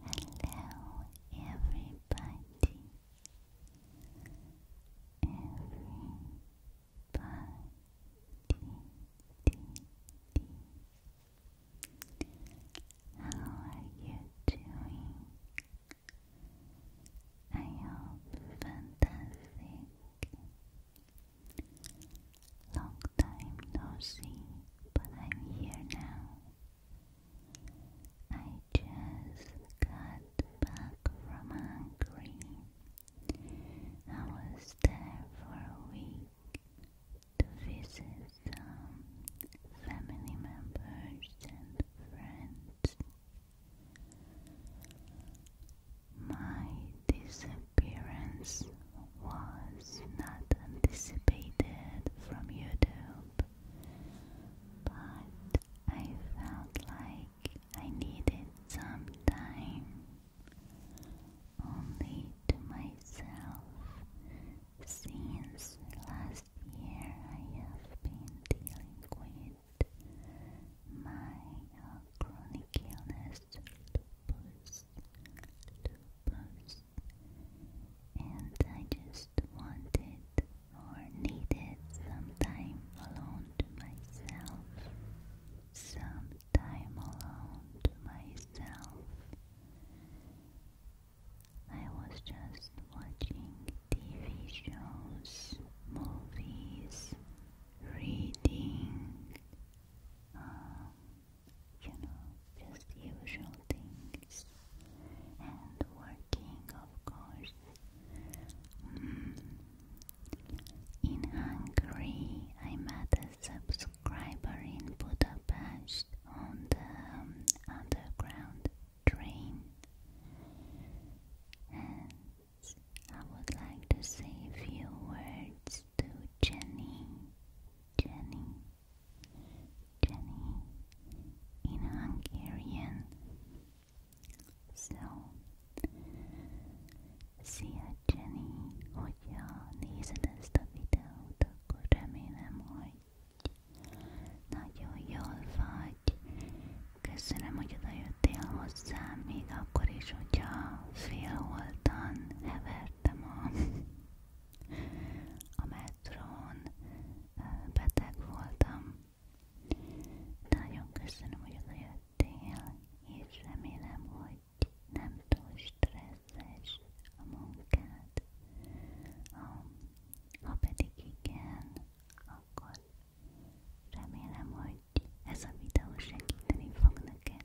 Hello, everybody. Everybody, how are you doing? I hope fantastic. Long time no see, but I'm here now. I just got back from Hungary. I was there for a week to visit some family members and friends. My disappearance was not anticipated from YouTube, but I felt like I needed some time only to myself since last year I have been dealing with my chronic illness lupus lupus and I just wanted or needed some time alone to myself, some time alone to myself. I was just watching TV shows, movies, reading, um, you know, just usual things. And working, of course. Mm. In Hungary, I met a subscriber in Budapest on the um, underground train. And I would like to say a few words to Jenny, Jenny, Jenny in Hungarian. So, szia Jenny, hogyha nézed ezt a videót, akkor remélem, hogy nagyon jól vagy. Köszönöm, hogy odajöttél hozzám, még akkor is, hogyha félholtan, hever vettem a, a metrón, beteg voltam. Nagyon köszönöm, hogy odajöttél, és remélem, hogy nem túl stresszes a munkád. Ha, ha pedig igen, akkor remélem, hogy ez a videó segíteni fog neked.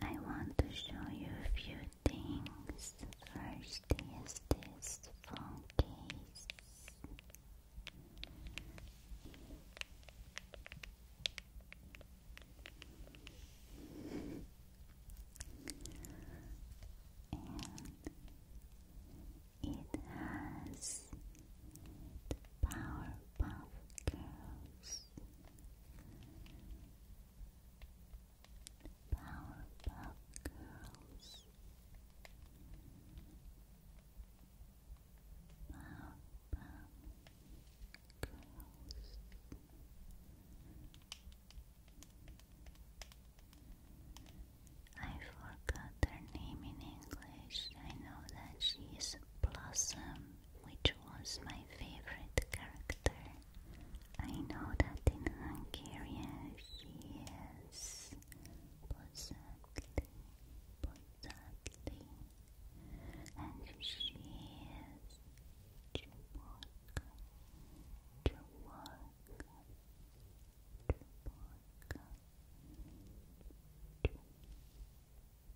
I want to show you a few things. First is this phone case. And it has the Powerpuff Powerpuff Girls. Powerpuff Girls. I forgot her name in English. I know that she's is Blossom which was my favorite character. I know that in Hungarian he is Bozatli, Bozatli, and she is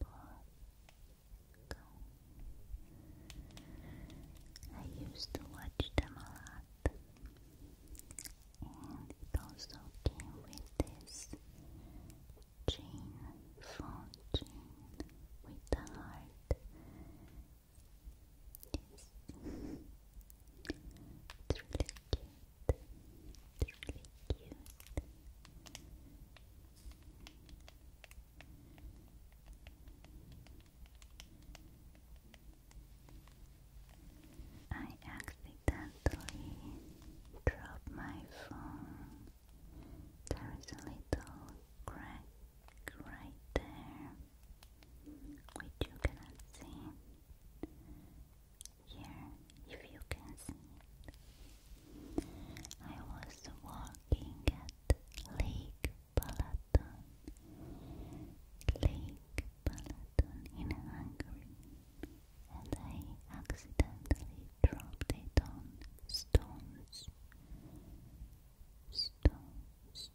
Polka. I used to watch them a lot, and it also came with this chain, phone chain with the heart. Yes. it's cute. It's cute. I accidentally dropped my phone. There is a little crack right there, which you cannot see here if you can see I was walking at Lake Balaton, Lake Balaton in Hungary, and I accidentally dropped a on stones. Stones,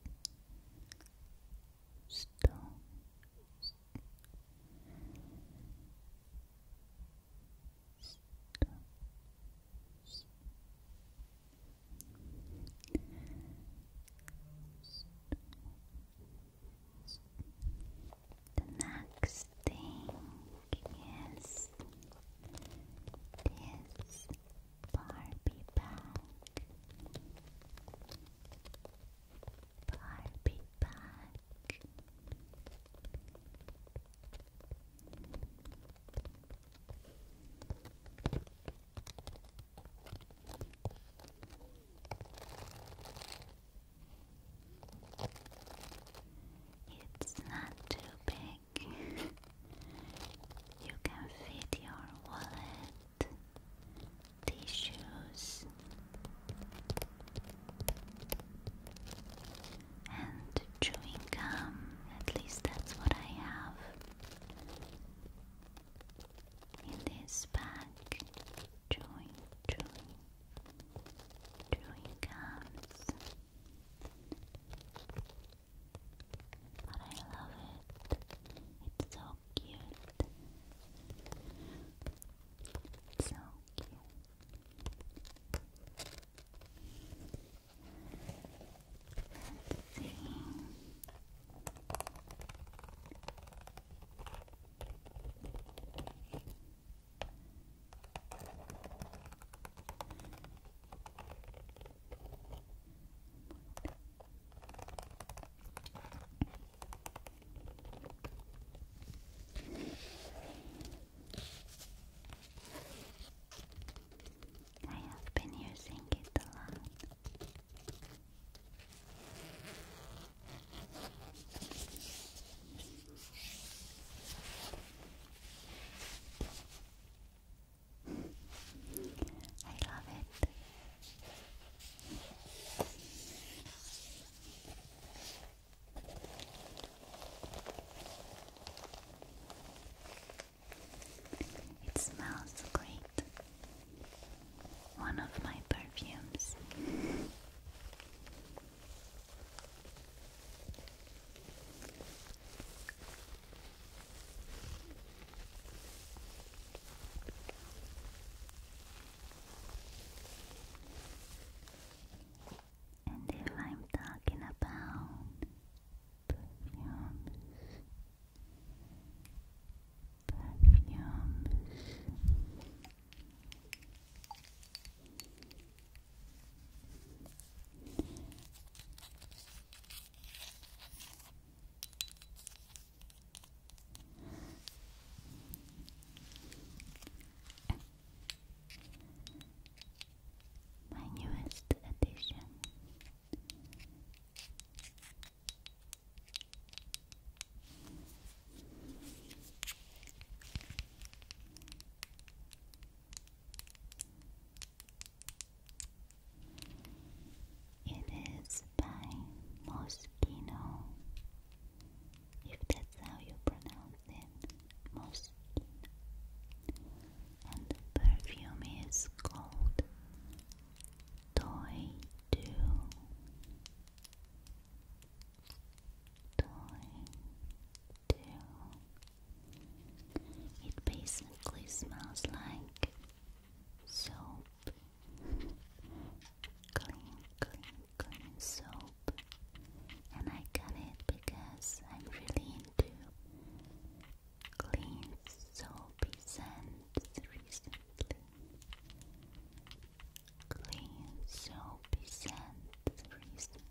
stones, the next thing is this Barbie bag. Barbie pack. It's not too big. you can fit your wallet tissues and chewing gum. At least that's what I have in this bag. Chewing, chewing, chewing gums. But I love it. It's so cute. So cute. Let's see. I have been using it a lot. I love it. It smells great. One of my perfumes. And if I'm talking about perfumes, perfumes, my newest addition. It is by Moschino. If that's how you pronounce it, Moschino. And the perfume is called Toy Do. Toy Do. It basically smells like soap clean, clean, clean soap. And I got it because I'm really into clean soapy scents recently. Clean soapy scents recently.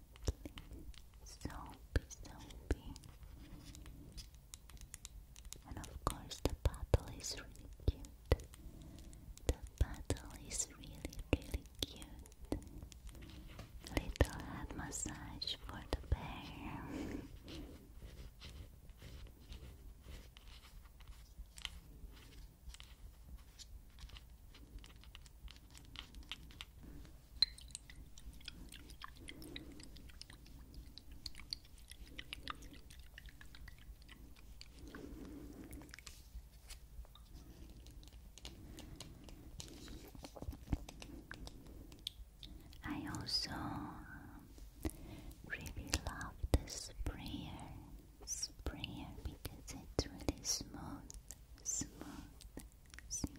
Soapy, soapy. And of course, the bottle is really cute. The bottle is really, really cute. Little head massage for the bear. I also really love the sprayer, sprayer because it's really smooth, smooth, smooth.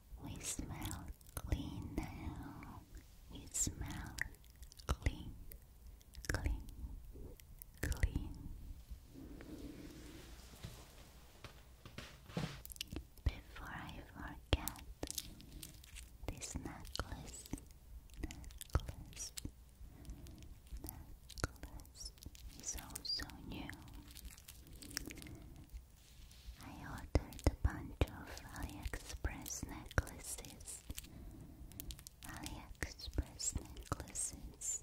We smell clean now. We smell clean, clean, clean. Before I forget, this necklace, necklace, necklace is also new. I ordered a bunch of AliExpress necklaces. AliExpress necklaces.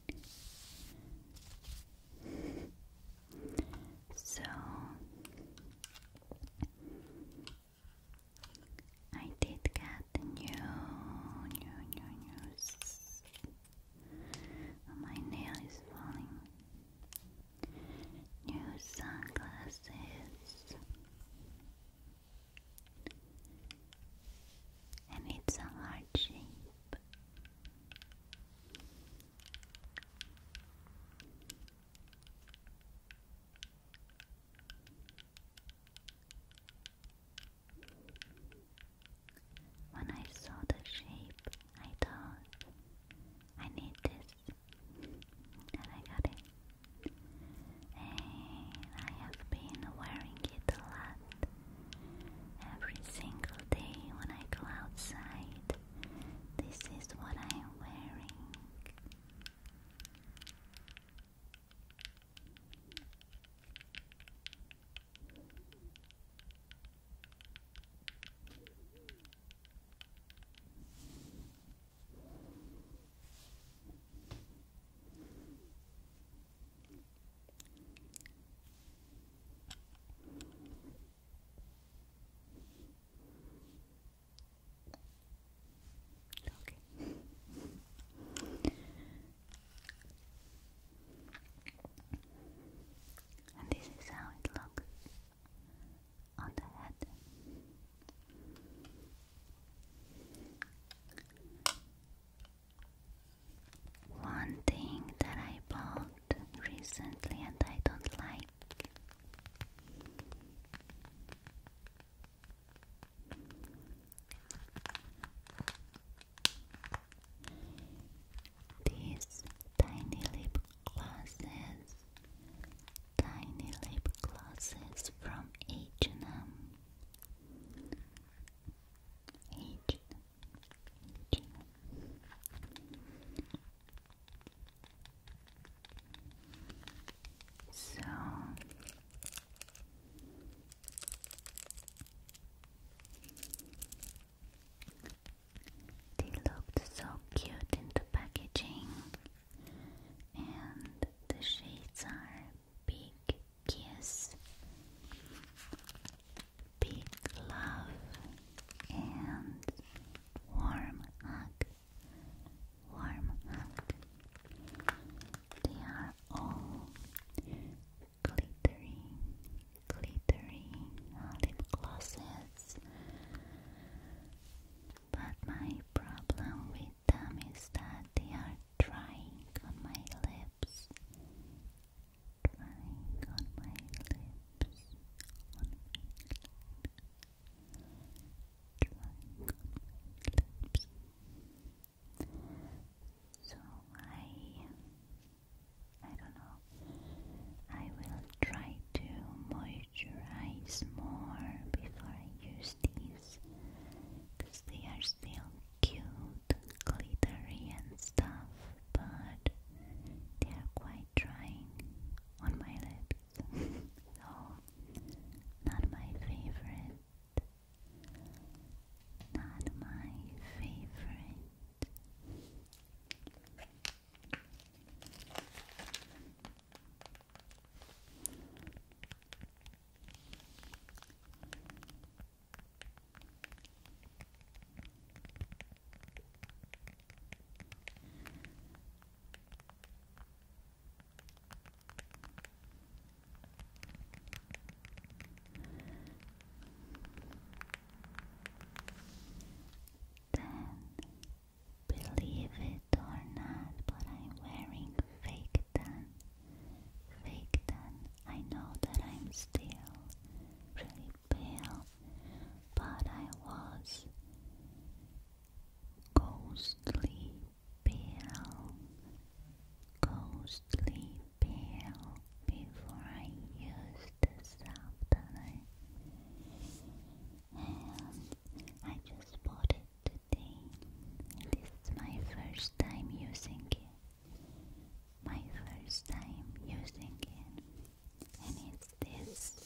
So I did get new, new, new, new. my nail is falling. New sunglasses, and it's a heart shape. When I saw the shape, I thought, I need this, and I got it. And I have been wearing it a lot Every single day when I go outside, this is what I am wearing. Okay. and this is how it looks on the head. One thing that I bought recently and I don't like these tiny lip glosses, tiny lip glosses from H&M. So they looked so cute in the packaging, and the shades are big kiss, big love, and warm hug. Warm hug. They are all glittering, glittering lip glosses. But my problem with them is that they are drying on my lips drying on my lips, on my lips. So I, I don't know. I will try to moisturize more before I use these, because they are still cute glittery and stuff, but they are quite drying on my lips, so not my favorite. Not my favorite. Then, believe it or not, but I'm wearing fake Faktan, Faktan, I know that I'm still really pale, but I was ghostly pale, ghostly pale before I used the softline. And I just bought it today. This is my first time using it my first time using it, and it's this.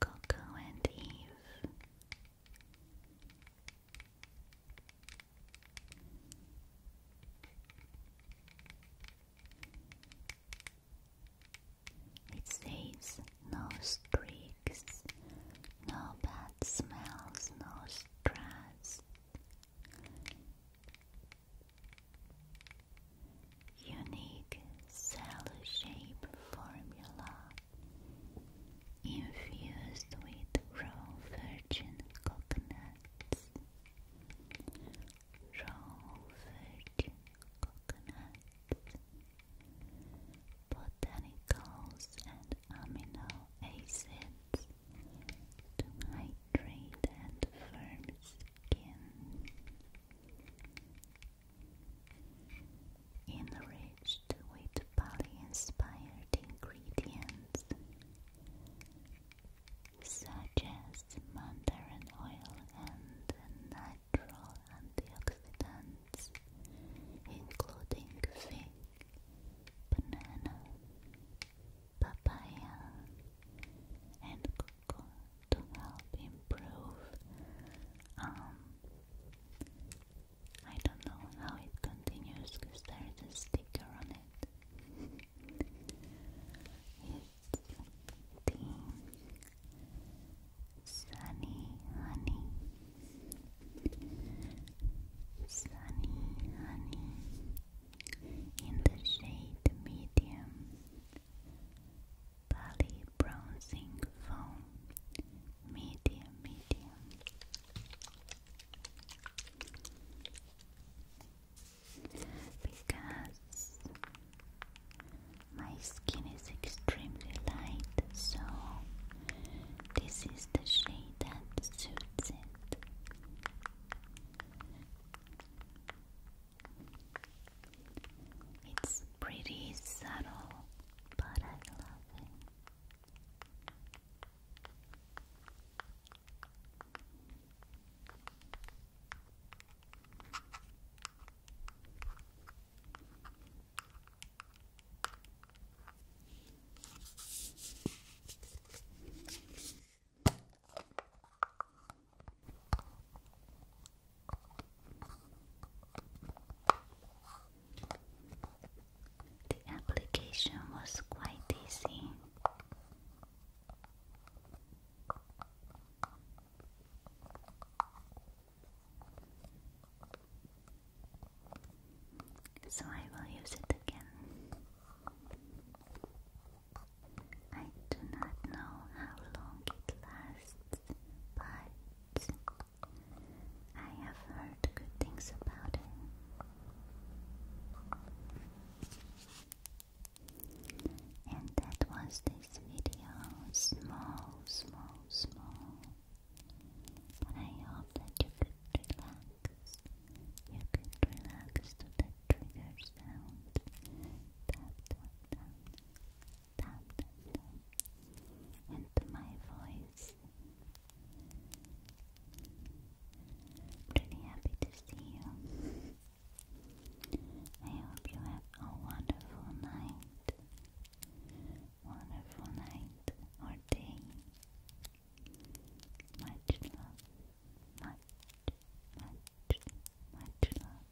Coco and Eve. It says no streaks, no bad smells, no stress. Unique cell shape formula infused with raw virgin coconuts rosewood, coconut, botanicals, and amino acids to hydrate and firm skin. Enriched with poly-inspired ingredients such as contains mandarin oil and natural antioxidants, including fig, banana, papaya, and cocoa to help improve. Um, I don't know how it continues because there is a sticker on it. Sunny Honey Sunny Honey in the shade medium Bali Bronzing Foam Medium Medium because my skin is extremely light, so this is the shade that suits it. It's pretty subtle, but I love it. The application was quite easy. So I will use it again. I do not know how long it lasts, but I have heard good things about it. And that was this video. Small, small, small. But I hope that you could relax. You could relax to the trigger sound. Tap, tap, tap. Tap, And to my voice. Pretty happy to see you. I hope you have a wonderful night, wonderful night or day. Much love, much, much, much love.